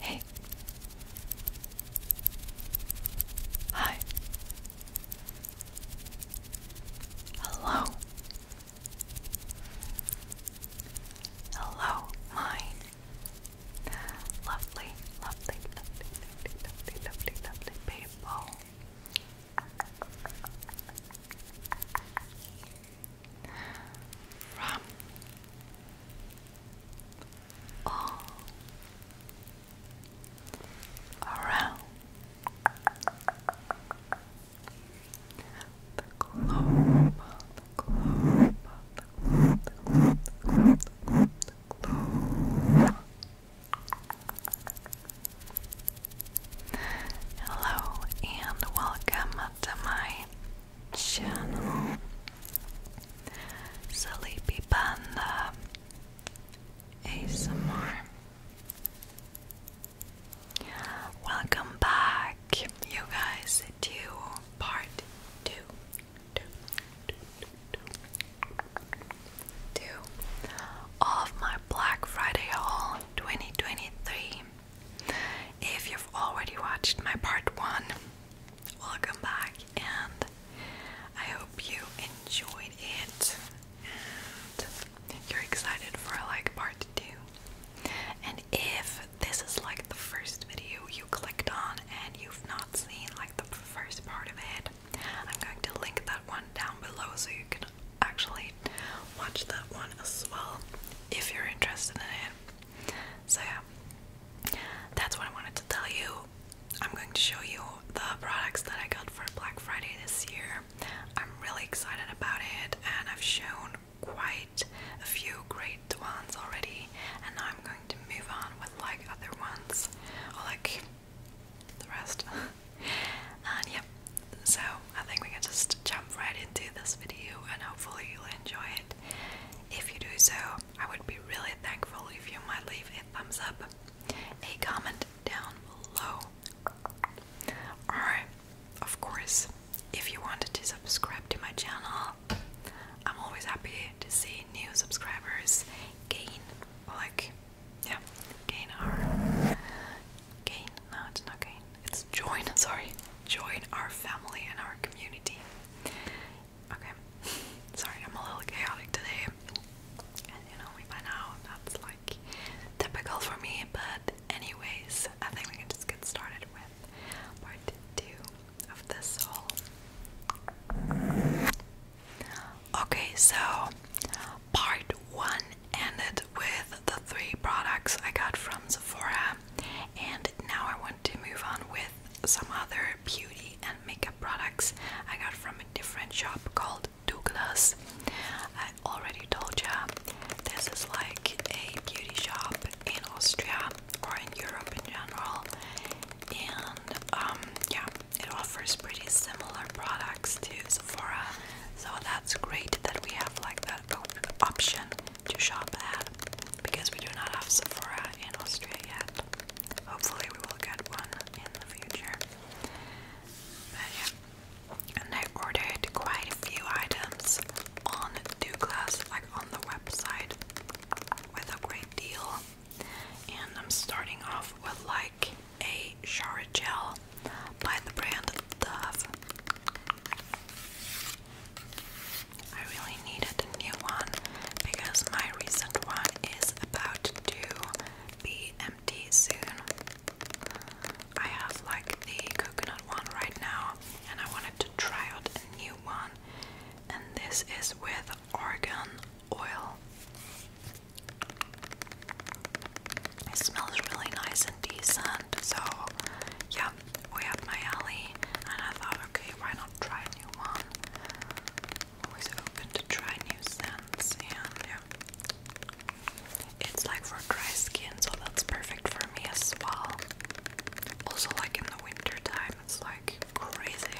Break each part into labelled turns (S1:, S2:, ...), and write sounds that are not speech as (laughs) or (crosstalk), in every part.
S1: Hey. Hi. Hello. Hello, mine. Lovely, lovely, lovely, lovely, lovely, lovely, people. From all around the globe, Hello and welcome to my channel Sleepy Panda Welcome back, you guys, to part two. two, if you've already watched my part one, welcome back, and I hope you enjoyed it and you're excited for like part two. And if this is like the first video you clicked on and you've not seen like the first part of it, I'm going to link that one down below so you can actually watch that one as well if you're interested in it. So, yeah, that's what I wanted to tell you. I'm going to show you the products that I got for Black Friday this year. I'm really excited about it, and I've shown quite a few great ones already. And now I'm going to move on with like other ones, or like the rest. (laughs) And yeah, so I think we can just jump right into this video and hopefully you'll enjoy it. If you do so, I would be really thankful if you might leave a thumbs up, a comment down below, or of course, if you wanted to subscribe to my channel, I'm always happy to see new subscribers gain, like, yeah, gain gain. No, it's not gain. It's join, sorry, join our family and our community. Okay, (laughs) sorry, I'm a little chaotic today. And you know, by now that's like typical for me, but anyways, I think we can just get started with part two of this whole. Okay, so part one ended with the three products I got from Sephora, and now I want to move on with some other beauty and makeup products I got from a different shop called Douglas. I already told you this is like a beauty shop in Austria or in Europe in general, and um, yeah, it offers pretty similar products to Sephora, so that's great that we have like that option to shop at because we do not have Sephora in Austria yet. Hopefully, we will get one in the future. But yeah. And I ordered quite a few items on Douglas, like on the website, with a great deal. And I'm starting off with like a shower gel by the brand Dove. I really needed a new one because my recent one is about to be empty soon. I have like the coconut one right now, and I wanted to try out a new one, and this is with argan oil. It smells really nice and decent, so yeah, way up my alley, and I thought, okay, why not try a new one? Always open to try new scents, and yeah, it's like for dry skin, so that's perfect for me as well. Also, like in the winter time, it's like crazy.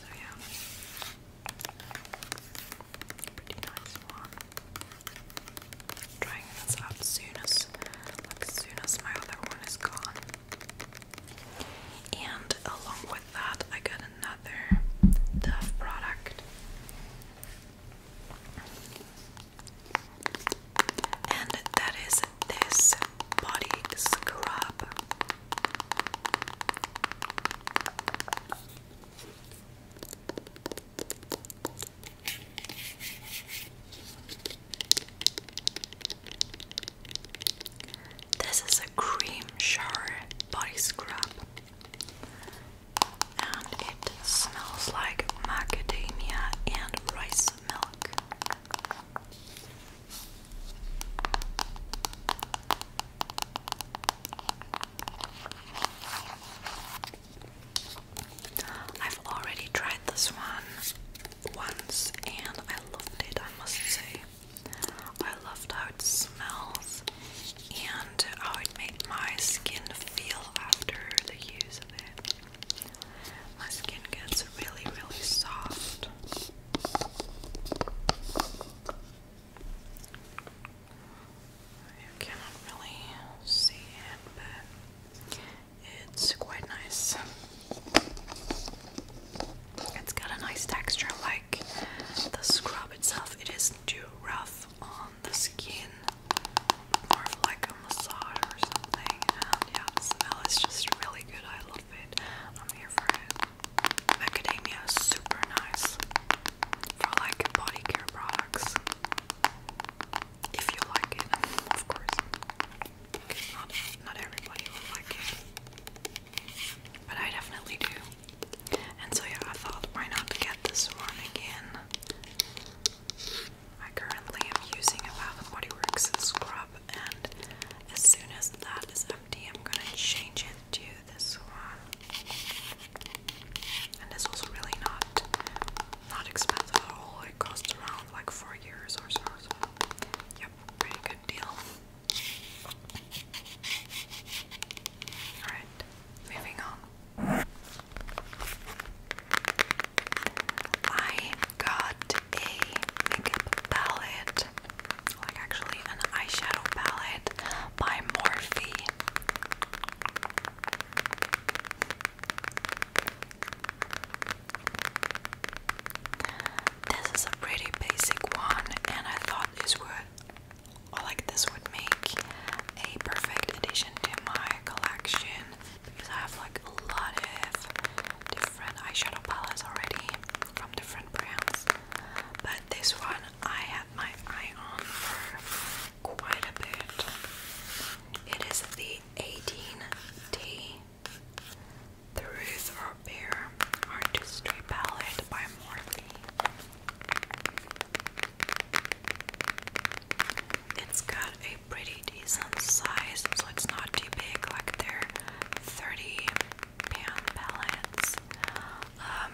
S1: So yeah, pretty nice trying this out soon like soon my other one is gone. And along with that I got another Dove product. And that is this body scrub. This is a cream shower body scrub, and it smells like macadamia and rice milk. I've already tried this one once and I loved it, I must say. I loved how it smells and how it made my skin feel after the use of it. My skin gets really, really soft. You cannot really see it, but it's quite nice. It's got a nice texture, like the scrub itself. It isn't too rough on the skin, more like a massage or something. And yeah, the smell is just really good. I love it. I'm here for it. Macadamia super nice for like body care products if you like it, of course. Not, not everybody will like it, but I definitely do. And so yeah, I thought why not get this one again. I currently am using a Bath and Body Works scrub, and as soon as that is empty, I'm gonna change it to this one and this was really not not expensive at all. It cost around like four years or so. yep, pretty good deal. All right, moving on. I got a makeup palette, like actually an eyeshadow palette by Morphe. This is a pretty basic one, and I thought this would, like this would make a perfect addition to my collection because I have like a lot of different eyeshadow palettes already from different brands. But this one I had my eye on for quite a bit. It is the 18T. The Ruth or Bear Artistry Palette by Morphe. It's got a pretty decent size, so it's not too big like their 30 pound palettes. Um,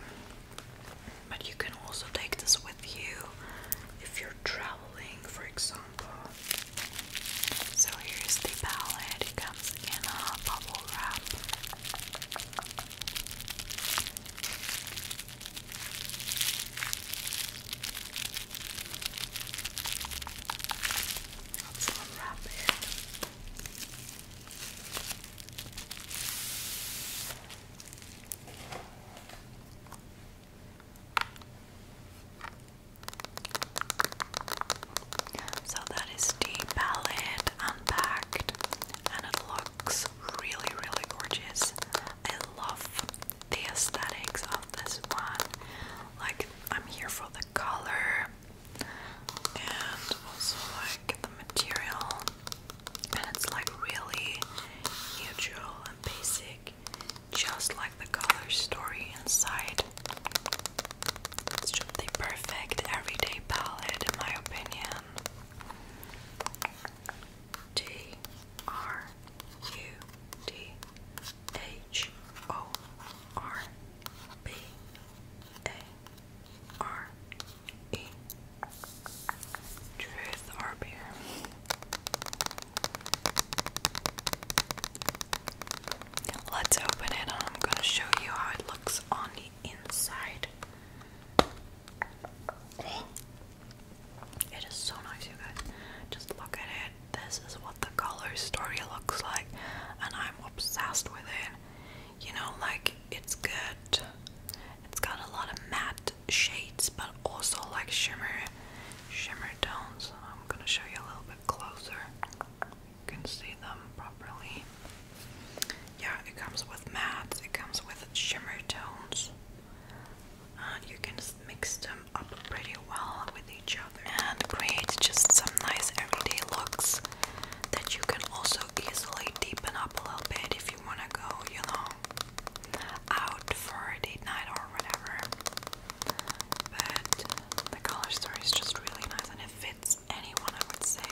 S1: but you can also take this with you if you're traveling, for example. So here's the palette, it comes in a bubble wrap. So that is the unpacked and it looks really really gorgeous. I love the aesthetics of this one. Like I'm here for the color and also like the material and it's like really neutral and basic just like the color story inside. It's just the perfect everyday palette, in my opinion. T R U D H O R B A R E Truth or Let's open it and I'm going to show you how it looks on the inside. It is so nice, you guys. Just look at it. This is what the color story looks like, and I'm obsessed with it. You know, like it's good. It's got a lot of matte shades, but also like shimmer shimmer tones. I'm going to show you a little bit closer. You can see them properly. Yeah, it comes with mattes, it comes with shimmer tones. And you can mix them up pretty well with each other and create just some nice everyday looks that you can also easily deepen up a little bit if you want to go, you know, out for a date night or whatever. But the color story is just really nice and it fits anyone, I would say.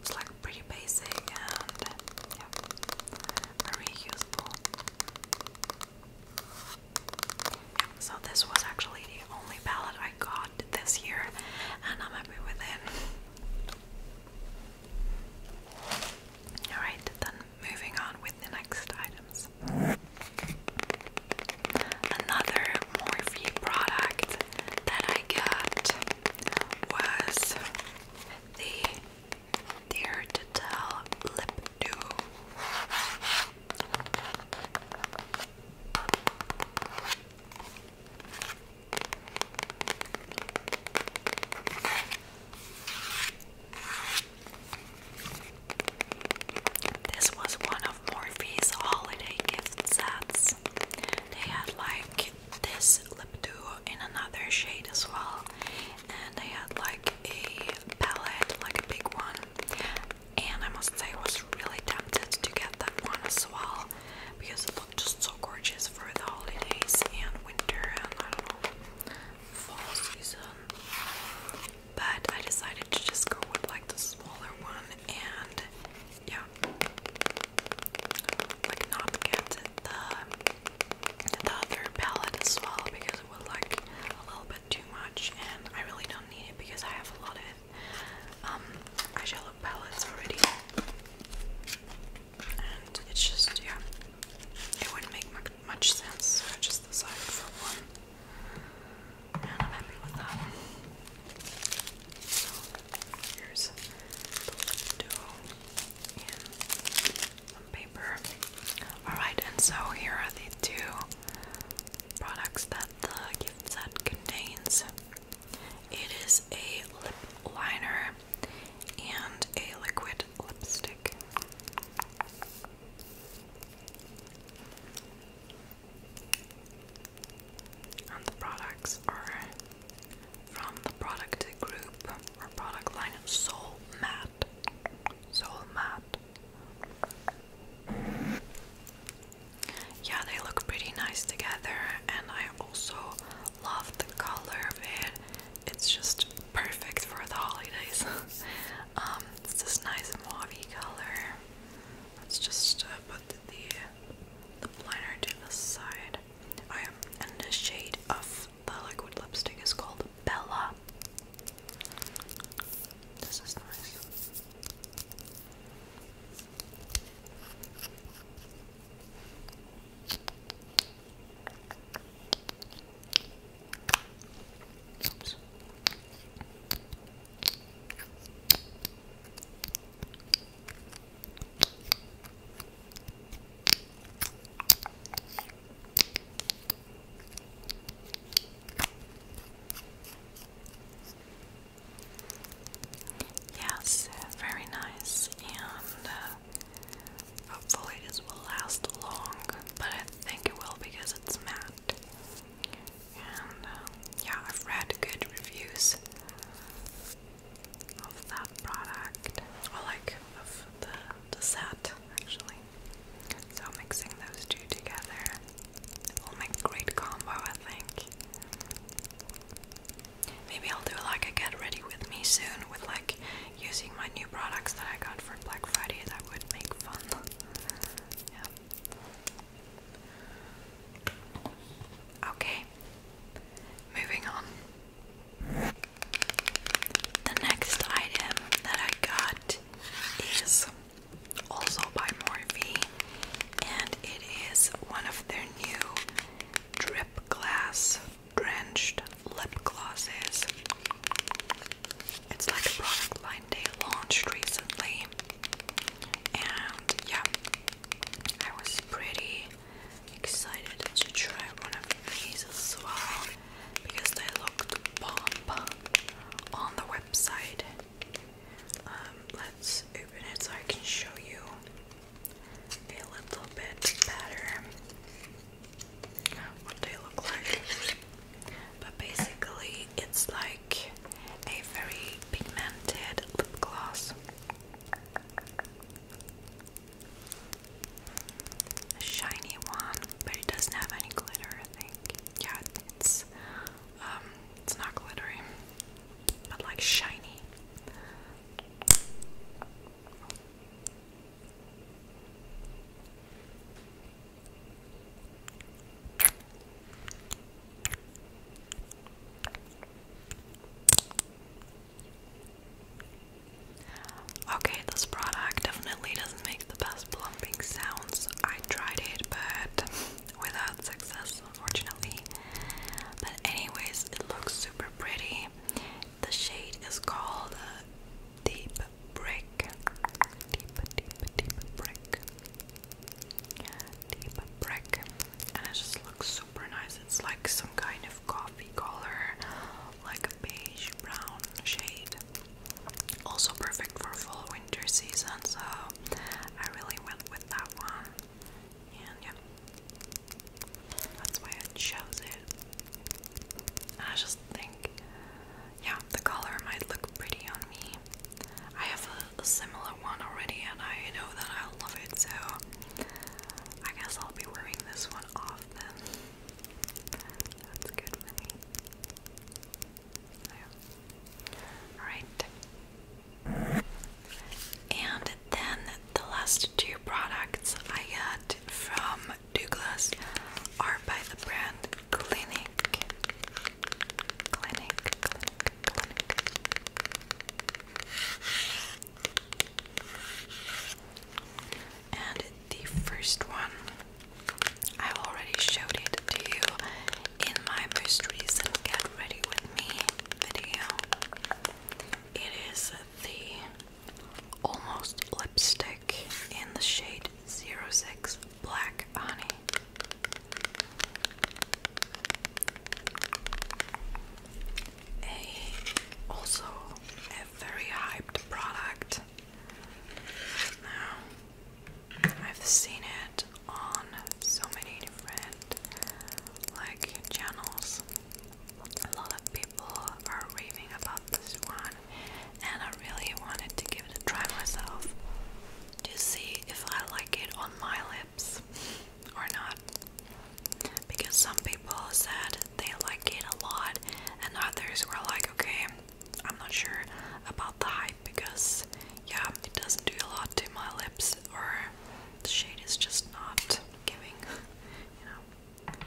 S1: It's like pretty basic and yeah, very useful. So, this was actually the only palette I got this year, and I'm happy with it. Alright, then moving on with the next items. Another Morphe product that I got was the Dare to Tell Lip Duo. This was one of Morphe's holiday gift sets. They had like this lip duo in another shade as well, and they had like a palette, like a big one. And I must say, I was really tempted to get that one as well because it looked just so gorgeous for the holidays and winter and fall season but I decided to just go with like the smaller one and yeah, like not get the, the other palette as well because it would like a little bit too much and I really don't need it because I have a lot of um, eyeshadow palettes already and it's just, yeah, it would make much sense, so I just decided for one. And I'm happy with that. So here's the duo in some paper. Alright, and so here are the two products that the gift set contains. It is a lip liner and a liquid lipstick. And the products are from the product group or product line Soul Matte. Soul Matte. Yeah, they look pretty nice together, and I also love the color of it. It's just perfect for the holidays. (laughs) Um, it's this nice mauvey color. Let's just uh, put the, liner to the side. I am in the shade of the liquid lipstick is called Bella. This is nice. Oops. Yes, very nice, and uh, hopefully this will last long, but I think it will because it's matte. Um, yeah, I've read good reviews of that product, or like of the, set actually. So mixing those two together will make great combo, I think. Maybe I'll do like a get ready with me soon with like using my new products that I got for Black Friday. That would make fun yeah. Okay. Moving on. The next item that I got is also by Morphe, and it is one of their new drip glass drenched lip glosses. It's like a product line they launched recently, and yeah, I was pretty excited to try one of these as well because they looked bomb on the website. Um, let's open it so I can show you a little bit better what they look like. But basically, it's like a very pigmented lip gloss. A shiny one, but it doesn't have any glitter, I think. Yeah, it's um, it's not glittery, but like shiny. Okay, this product definitely doesn't make the best plumping sounds. I tried it, but (laughs) without success, unfortunately. But, anyways, it looks super pretty. The shade is called uh, Deep break. Deep, deep, deep break. Deep brick. And it just looks super nice. It's like some kind of coffee color, like a beige brown shade. Also perfect for fall winter season, so I really went with that one. And yeah. That's why I chose it. I just think yeah, the color might look pretty on me. I have a, similar one already, and I know that i love it, so I guess I'll be wearing this one off then. That's good for me. So, alright. And then the last two products I got from Douglas are by the brand clinic, clinic, clinic, clinic. And the first one, I already showed it to you in my most recent Get Ready With Me video. It is the Almost Lipstick in the shade 06 black honey. also a very hyped product. Now I've seen it on so many different like channels. A lot of people are raving about this one and I really wanted to give it a try myself to see if I like it on my lips or not. Because some people said they like it a lot, and others were like, okay, I'm not sure about the hype because, yeah, it doesn't do a lot to my lips, or the shade is just not giving, you know.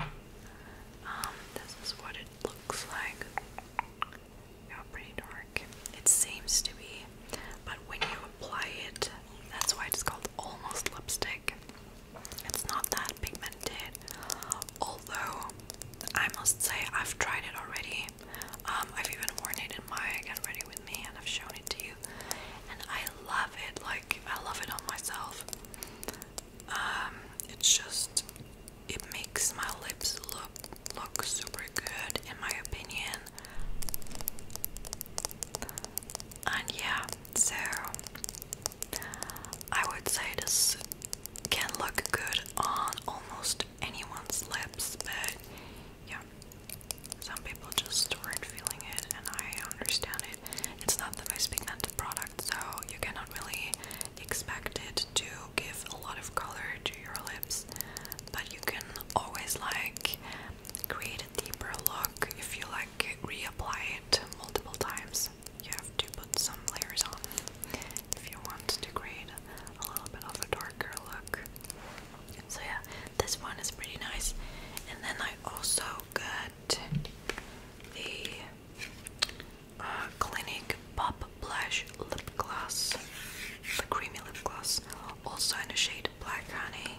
S1: Um, this is what it looks like you pretty dark. It seems to be, but when you apply it, that's why it's called almost lipstick. It's not that pigmented, although I must say I've tried it already. Um, I've even worn it in my Get Ready With Me and I've shown it to you. And I love it, like, I love it on myself. Um, it's just it makes my lips look look super good in my opinion. And yeah, so I would say this can look good on almost anyone's lips, but yeah, some people just weren't feeling it, and I understand it. It's not the most pigmented product, so you cannot really expect it to give a lot of color to your lips but you can always like create a deeper look if you like reapply it multiple times you have to put some layers on if you want to create a little bit of a darker look so yeah this one is pretty nice and then I also got the uh, Clinique Pop Blush Lip Gloss, the creamy lip gloss, also in a shade Black Honey,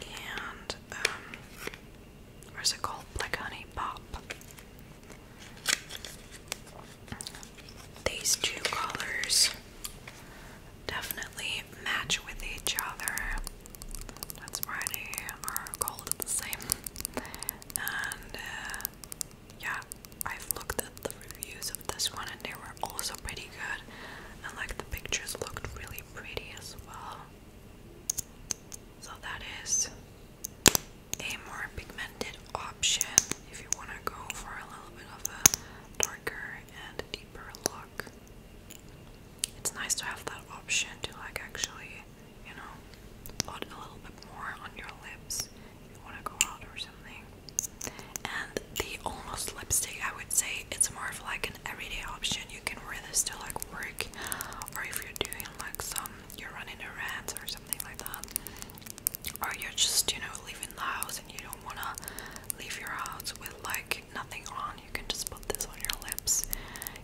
S1: and um, where's it called? Black Honey Pop. These two colors definitely match with each other. That's why they are called the same. And uh, yeah, I've looked at the reviews of this one and they were also pretty good, and like the pictures looked really pretty as well. So that is a more pigmented option if you want to go for a little bit of a darker and deeper look. It's nice to have that option to like actually, you know, put a little bit more on your lips you want to go out or something. And the almost lipstick, I would say it's more of like an everyday option. You can wear this to like work, or if you're doing like some, you're running errands or something like that, or you're just you know leaving the house and you don't wanna leave your house with like nothing on. You can just put this on your lips,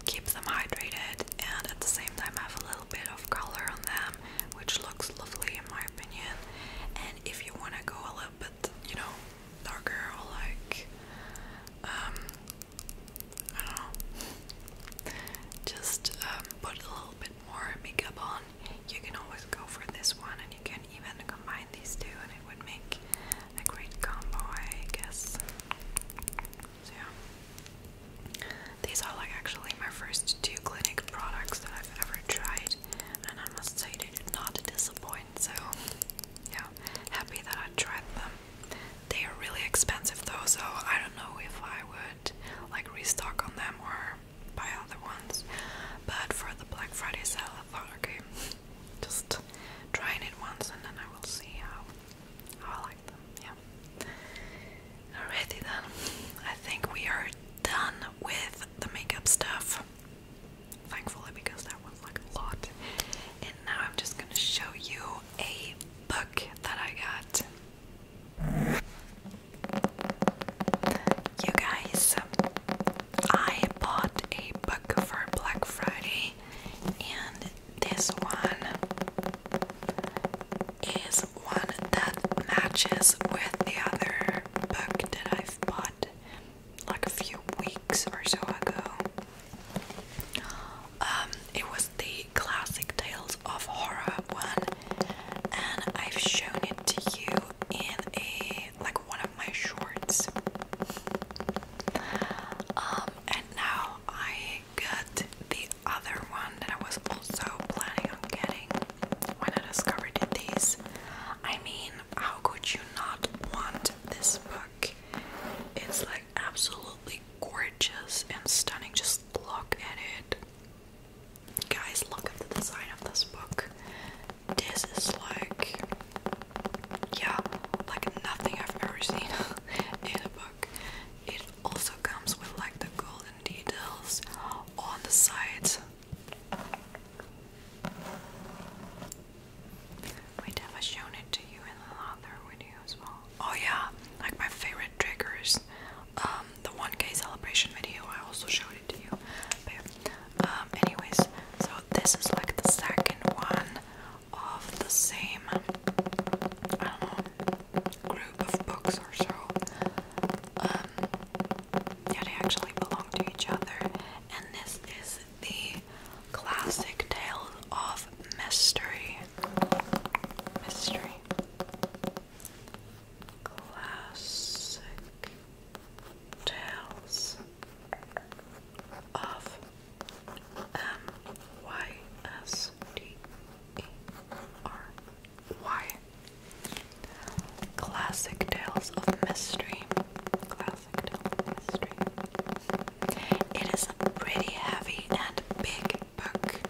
S1: keep them hydrated, and at the same time have a little bit of color on them, which looks lovely in my opinion. And if you wanna go a little bit, you know, darker or like um, I don't know just um, put a little bit more makeup on, you can always go for this one and you can even combine these two and it would make a great combo I guess. So yeah. These are like actually my first two clinic products that I've ever tried, and I must say they did not disappoint. So, yeah, happy that I tried them. They are really expensive though, so I don't know if I would like restock on them or buy other ones. But for the Black Friday sale, okay, just trying it once and then I will see how how I like them. Yeah. Alrighty then, I think we are done with the makeup stuff. Thankfully, because that was like a lot. And now I'm just gonna show you a book that I got. You guys, I bought a book for Black Friday, and this one is one that matches with the other book that i bought like a few weeks or so ago. Um, it was the classic Tales of Horror one, and I've shown it to you in a like one of my shorts. Um, and now I got the other one that I was also planning on getting when I discovered these. I mean, how could you not want this book? It's like absolutely gorgeous and stunning. Just look at it. Guys, look at the design of this book. This is like, yeah, like nothing I've ever seen (laughs) in a book. It also comes with like the golden details on the sides. We'd never shown it to you in another video as well. Oh yeah, like my favorite triggers. Um, the 1K celebration video, I also showed it to you. But, um, anyways, so this is like the second one of the same, group of books or so. Um, yeah, they actually belong to each other. And this is the classic tale of mystery. Mystery. Classic tales of M Y S T E R why? Classic Tales of Mystery. Classic Tales of Mystery. It is a pretty heavy and big book,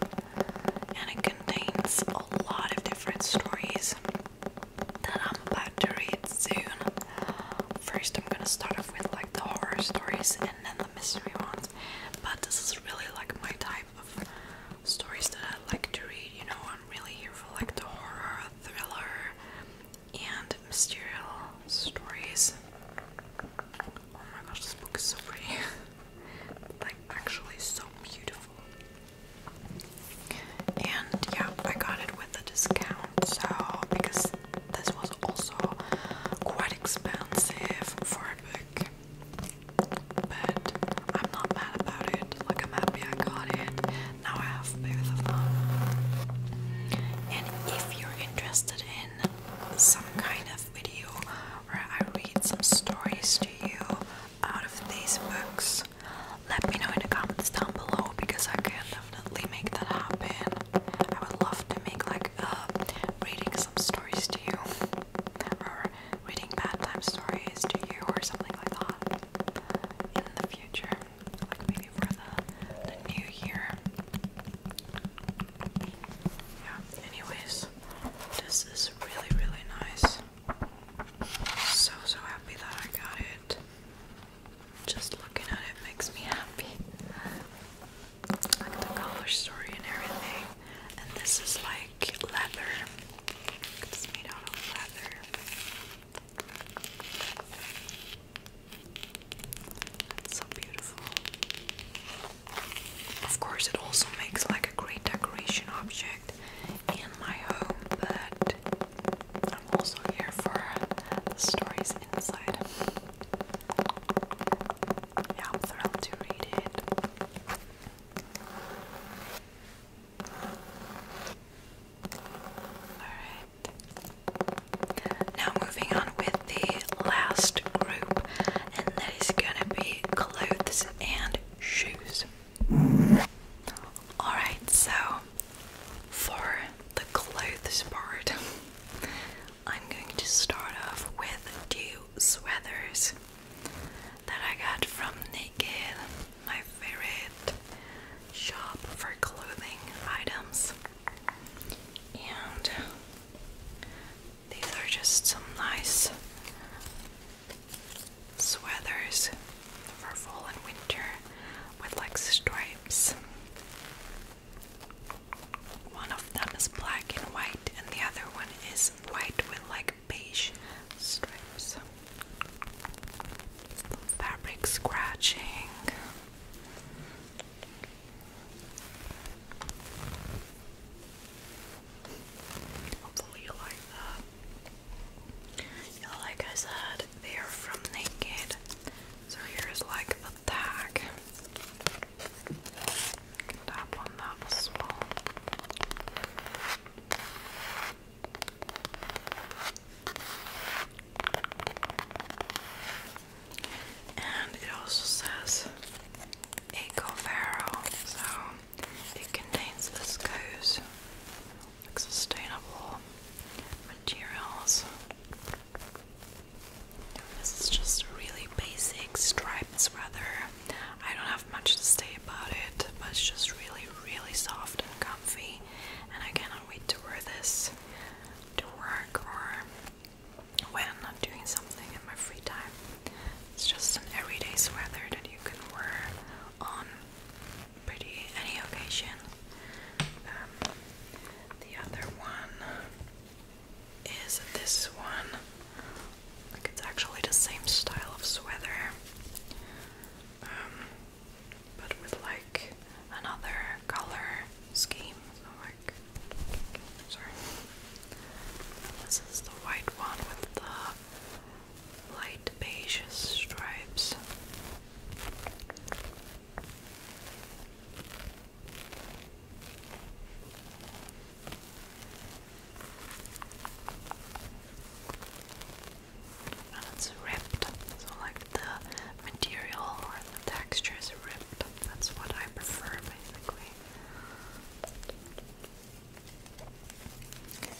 S1: and it contains a lot of different stories that I'm about to read soon. First, I'm gonna start off with like the horror stories and then the mystery ones, but this is really like my type of stories that I like to read. You know, I'm really here for like the horror, thriller, and mysterious stories. Oh my gosh, this book is so pretty. (laughs) like, actually, so beautiful. And yeah, I got it with a discount, so because this was also quite expensive for a book but I'm not mad about it. Like, I'm happy I got it. Now I have both of them. And if you're interested in some kind of video where I read some stories to you out of these books, let me know in the comments down below because I can definitely make that happen. I would love to make like a reading some stories to you or reading bedtime stories to you or something like that in the future, maybe for the, the new year. Yeah, anyways, this is really, really nice. So, so happy that I got it. Just looking at it makes me happy. Like the color story and everything. And this is like leather. It's made out of leather so beautiful. Of course, it also makes like a great decoration object in my home, but I'm also here for the stories inside. Yeah, I'm thrilled to read it. Now moving on with the last group, and that is gonna be clothes and shoes. Alright, so for the clothes part, I'm going to start off with two sweaters that I got from Naked, my favorite shop for clothing items. And these are just some nice sweaters for fall and winter with like stripes. One of them is black and white, and the other one is white with like beige stripes fabric scratching. Hopefully, you like that. like I said, they are from Naked, so here's like the tag. Tap on that as and it also says Eco Farrow, so it contains viscose, like sustainable materials. This is just a really basic striped sweater. I don't have much to say about it, but it's just really, really soft and comfy and I cannot wait to wear this to work or when I'm doing something in my free time. It's just an everyday sweater that you can wear on pretty any occasion. Um, the other one is this one. Like it's actually the same style of sweater. Um, but with like another color scheme. So like, sorry, this is the white one with the light beige stripes and it's ripped. So like the material or the texture is ripped. That's what I prefer basically.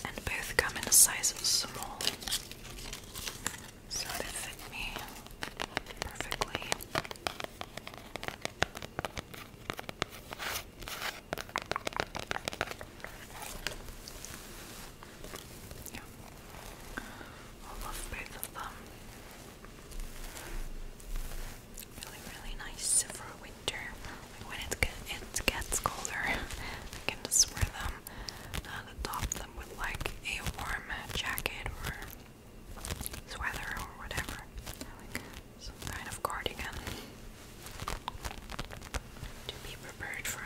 S1: And both come in a size small. So they fit me perfectly. I love both of them. Really, really nice for winter. when it, gets colder, (laughs) I can just wear them and uh, adopt them with like a warm jacket or sweater or whatever. Like some kind of cardigan. To be prepared for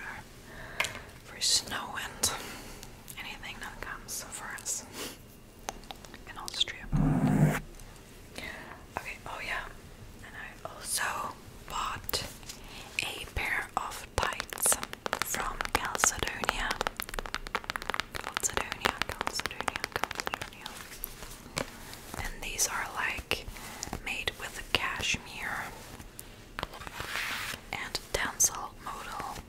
S1: for snow and anything that comes for us in Austria. Okay, oh yeah, and I also bought a pair of tights from Calcedonia. Calcedonia, Calcedonia, Calcedonia. And these are like made with cashmere and tensile modal.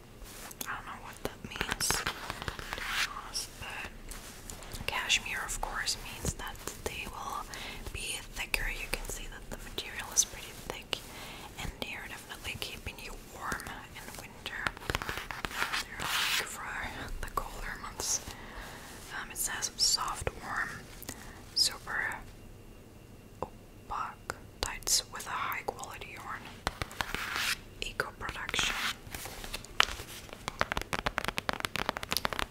S1: I don't know what that means, but cashmere, of course, means that they will be thicker. You can see that the material is pretty thick, and they are definitely keeping you warm in winter. They're like for the colder months. Um, it says soft, warm, super opaque tights with a high quality yarn. Eco production.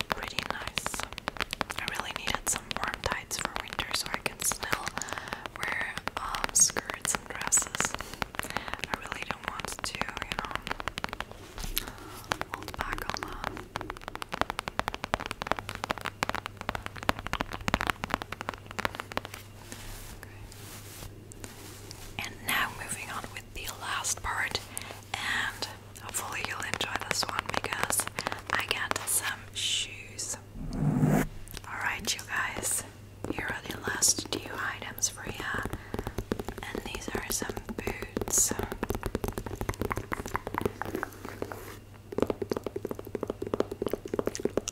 S1: Pretty nice. I really needed some warm tights for winter so I can still wear um, skirts and dresses. I really don't want to, you know, hold back on that. And now moving on with the last part, and hopefully you'll enjoy this one because I got some shoes. Alright, you guys, here are the last two items for you, and these are some boots.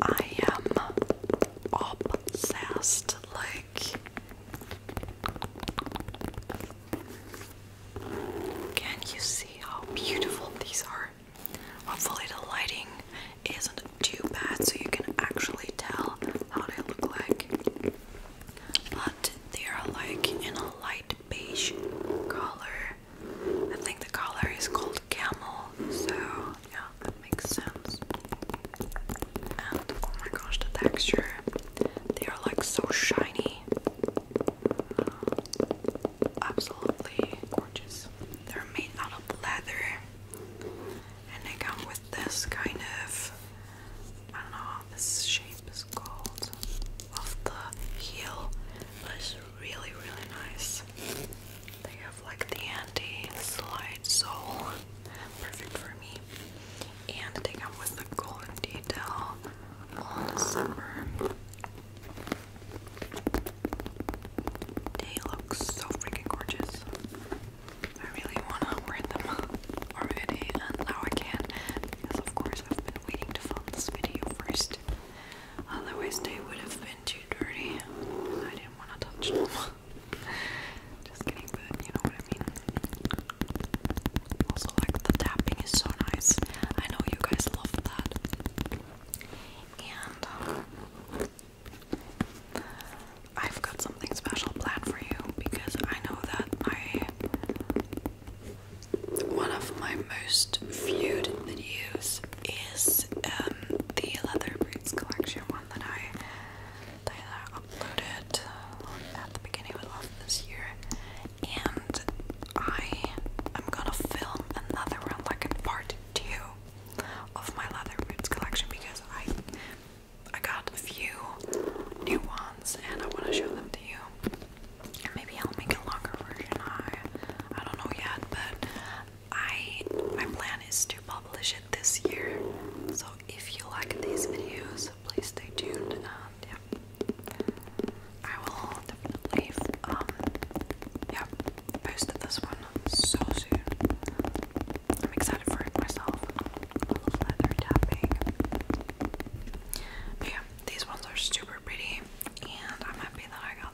S1: I am obsessed, like, can you see how beautiful these are? Hopefully, the lighting isn't too bad so you can actually tell how they look like. But they are like in a light beige color I think the color is called camel, so yeah, that makes sense. And oh my gosh, the texture. They are like so shiny. Uh, absolutely gorgeous. They're made out of leather. And they come with this kind of I don't know this shape is called of the heel was really really nice. They have like the anti-slide sole, perfect for me. And they come with the golden detail on the zipper. They look so freaking gorgeous. I really wanna wear them already, and now I can because of course I've been waiting to film this video first. Otherwise, they would have been too dirty. I didn't want to touch (laughs) Just kidding, but you know what I mean. Also, like the tapping is so nice. I know you guys love that. And um, I've got something special planned for you because I know that my one of my most viewed videos is um, the Leather Boots collection one that I uploaded uh, at the beginning of this year, and I am gonna film another one like a part two of my Leather Boots collection because I I got a few new ones and I want to show them to you. Maybe I'll make a longer version. I I don't know yet, but I my plan is to publish it this year. So if you like these videos, please stay tuned and um, yeah. I will definitely um yeah post this one so soon. I'm excited for it myself. yeah, these ones are super pretty and I'm happy that I got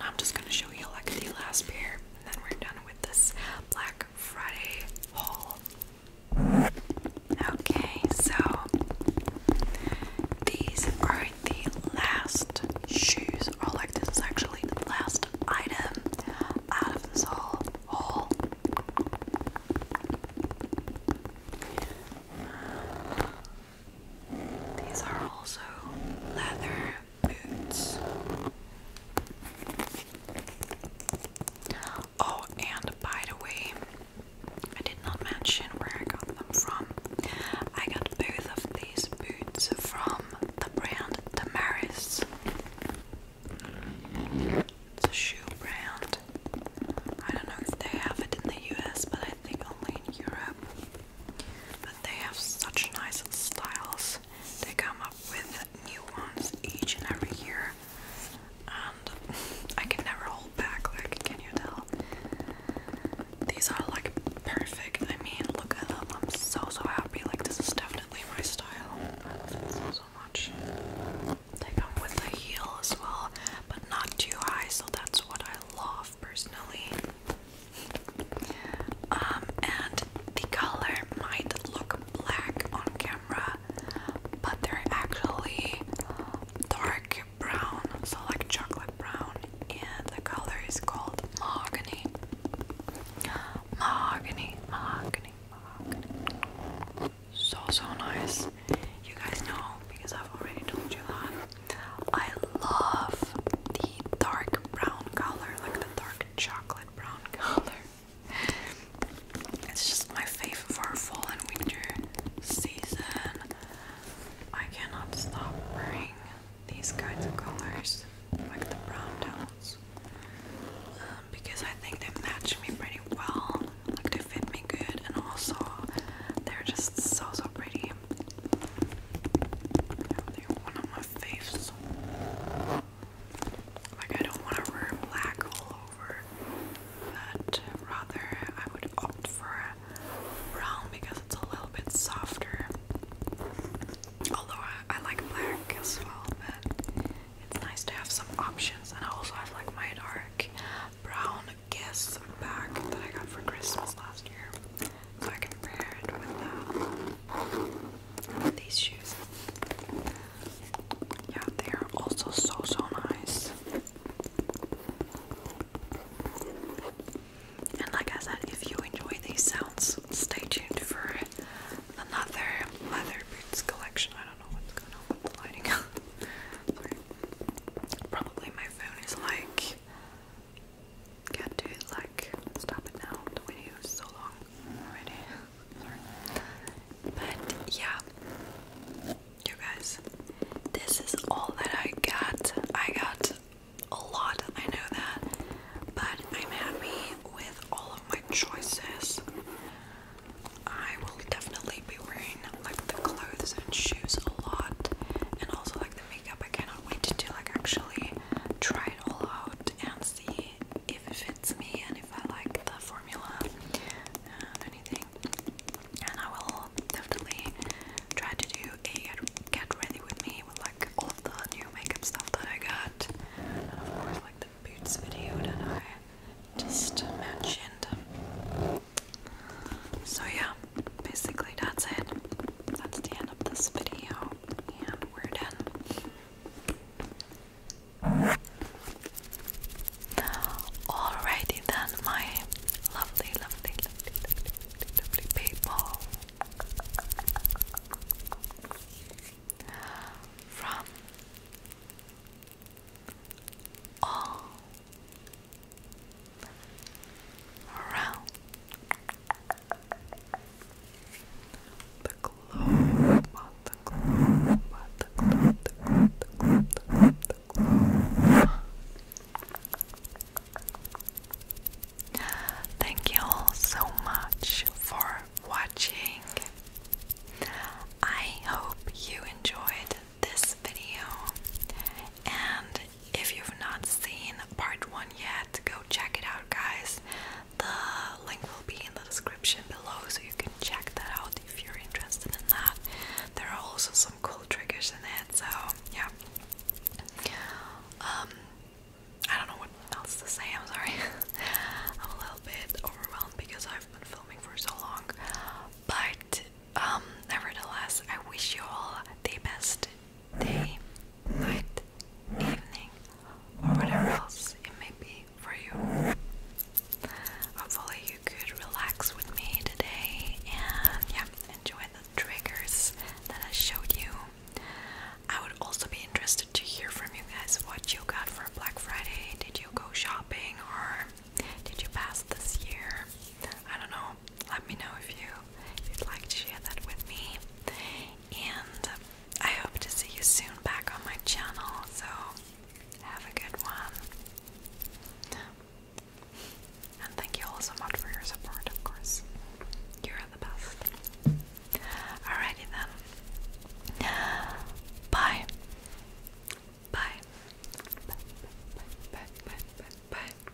S1: I'm just gonna show you like the last pair, and then we're done with this Black Friday haul. Okay, so these are the last shoes, or oh, like this is actually the last item out of this whole haul. These are also leather boots. Oh, and by the way, I did not mention where I got them from. I got both of these boots from the brand Damaris. It's a shoe brand. I don't know if they have it in the US, but I think only in Europe they have such nice styles. They come up with new ones each and every year, and (laughs) I can never hold back. Like, can you tell? These are like perfect. I mean, look at them. I'm so so happy. Like, this is definitely my style. I love So so much. They come with a heel as well, but not too high, so that's what I love personally. Um, and the color might look black on camera, but they're actually dark brown, so like chocolate brown, and the color is called mahogany. Mahogany, mahogany, mahogany. So, so nice. You guys know because I've already told you that. I love the dark brown color, like the dark chocolate brown color. It's just my favorite for fall and winter season. I cannot stop wearing these kinds of colors, like the brown tones, um, because I think they match me pretty well. Like they fit me good, and also they're just so so pretty. Now one on my face. Like I don't want to wear black all over, but rather I would opt for brown because it's a little bit softer. Although I, I like black as well, but it's nice to have some options. And I also have like my dark brown guess bag that I got for Christmas last year so I can pair it with, these shoes. Yeah, they are also so so nice. And like I said, if you enjoy these sounds, stay tuned for another leather boots collection. I don't know what's going on with the lighting. (laughs) Probably my phone is like can't do it like stop it now. The video is so long already. (laughs) But yeah, you guys, this is all that I got. I got a lot, I know that, but I'm happy with all of my choices. I will definitely be wearing like the clothes and shoes a lot, and also like the makeup. I cannot wait to like actually try it all out and see if it fits me and if I like the formula and anything. And I will definitely try to do a get ready with me with like all the new makeup stuff that I got. like the boots video that I just mentioned. So yeah, basically that's it. That's the end of this video and we're done. Alrighty then, my lovely, lovely, lovely, lovely, lovely people from all around the glow, the glow, the glow, the glow, the glow, the glow, the glow. Thank you all so much for watching. I hope you enjoyed this video and if you've not seen part one yet, go check it out, guys. The link will be in the description below so you can check that out if you're interested in that. There are also some cool triggers in it, so yeah. Um, I don't know what else to say, I'm sorry. (laughs) I'm a little bit overwhelmed because I've been filming for so long. But um, nevertheless, I wish you all the best day, night, evening, or whatever else it may be for you. Hopefully, you could relax with me today and yeah, enjoy the triggers that I showed you. I would also be interested to hear from you guys what you got for Black Friday. Did you go shopping or did you pass this year? I don't know. Let me know if you if you'd like to share that with me and I hope to see you soon back on my channel. So, have a good one. And thank you all so much for your support, of course. You're the best. Alrighty then. Bye. Bye. Bye. Bye. Bye. Bye.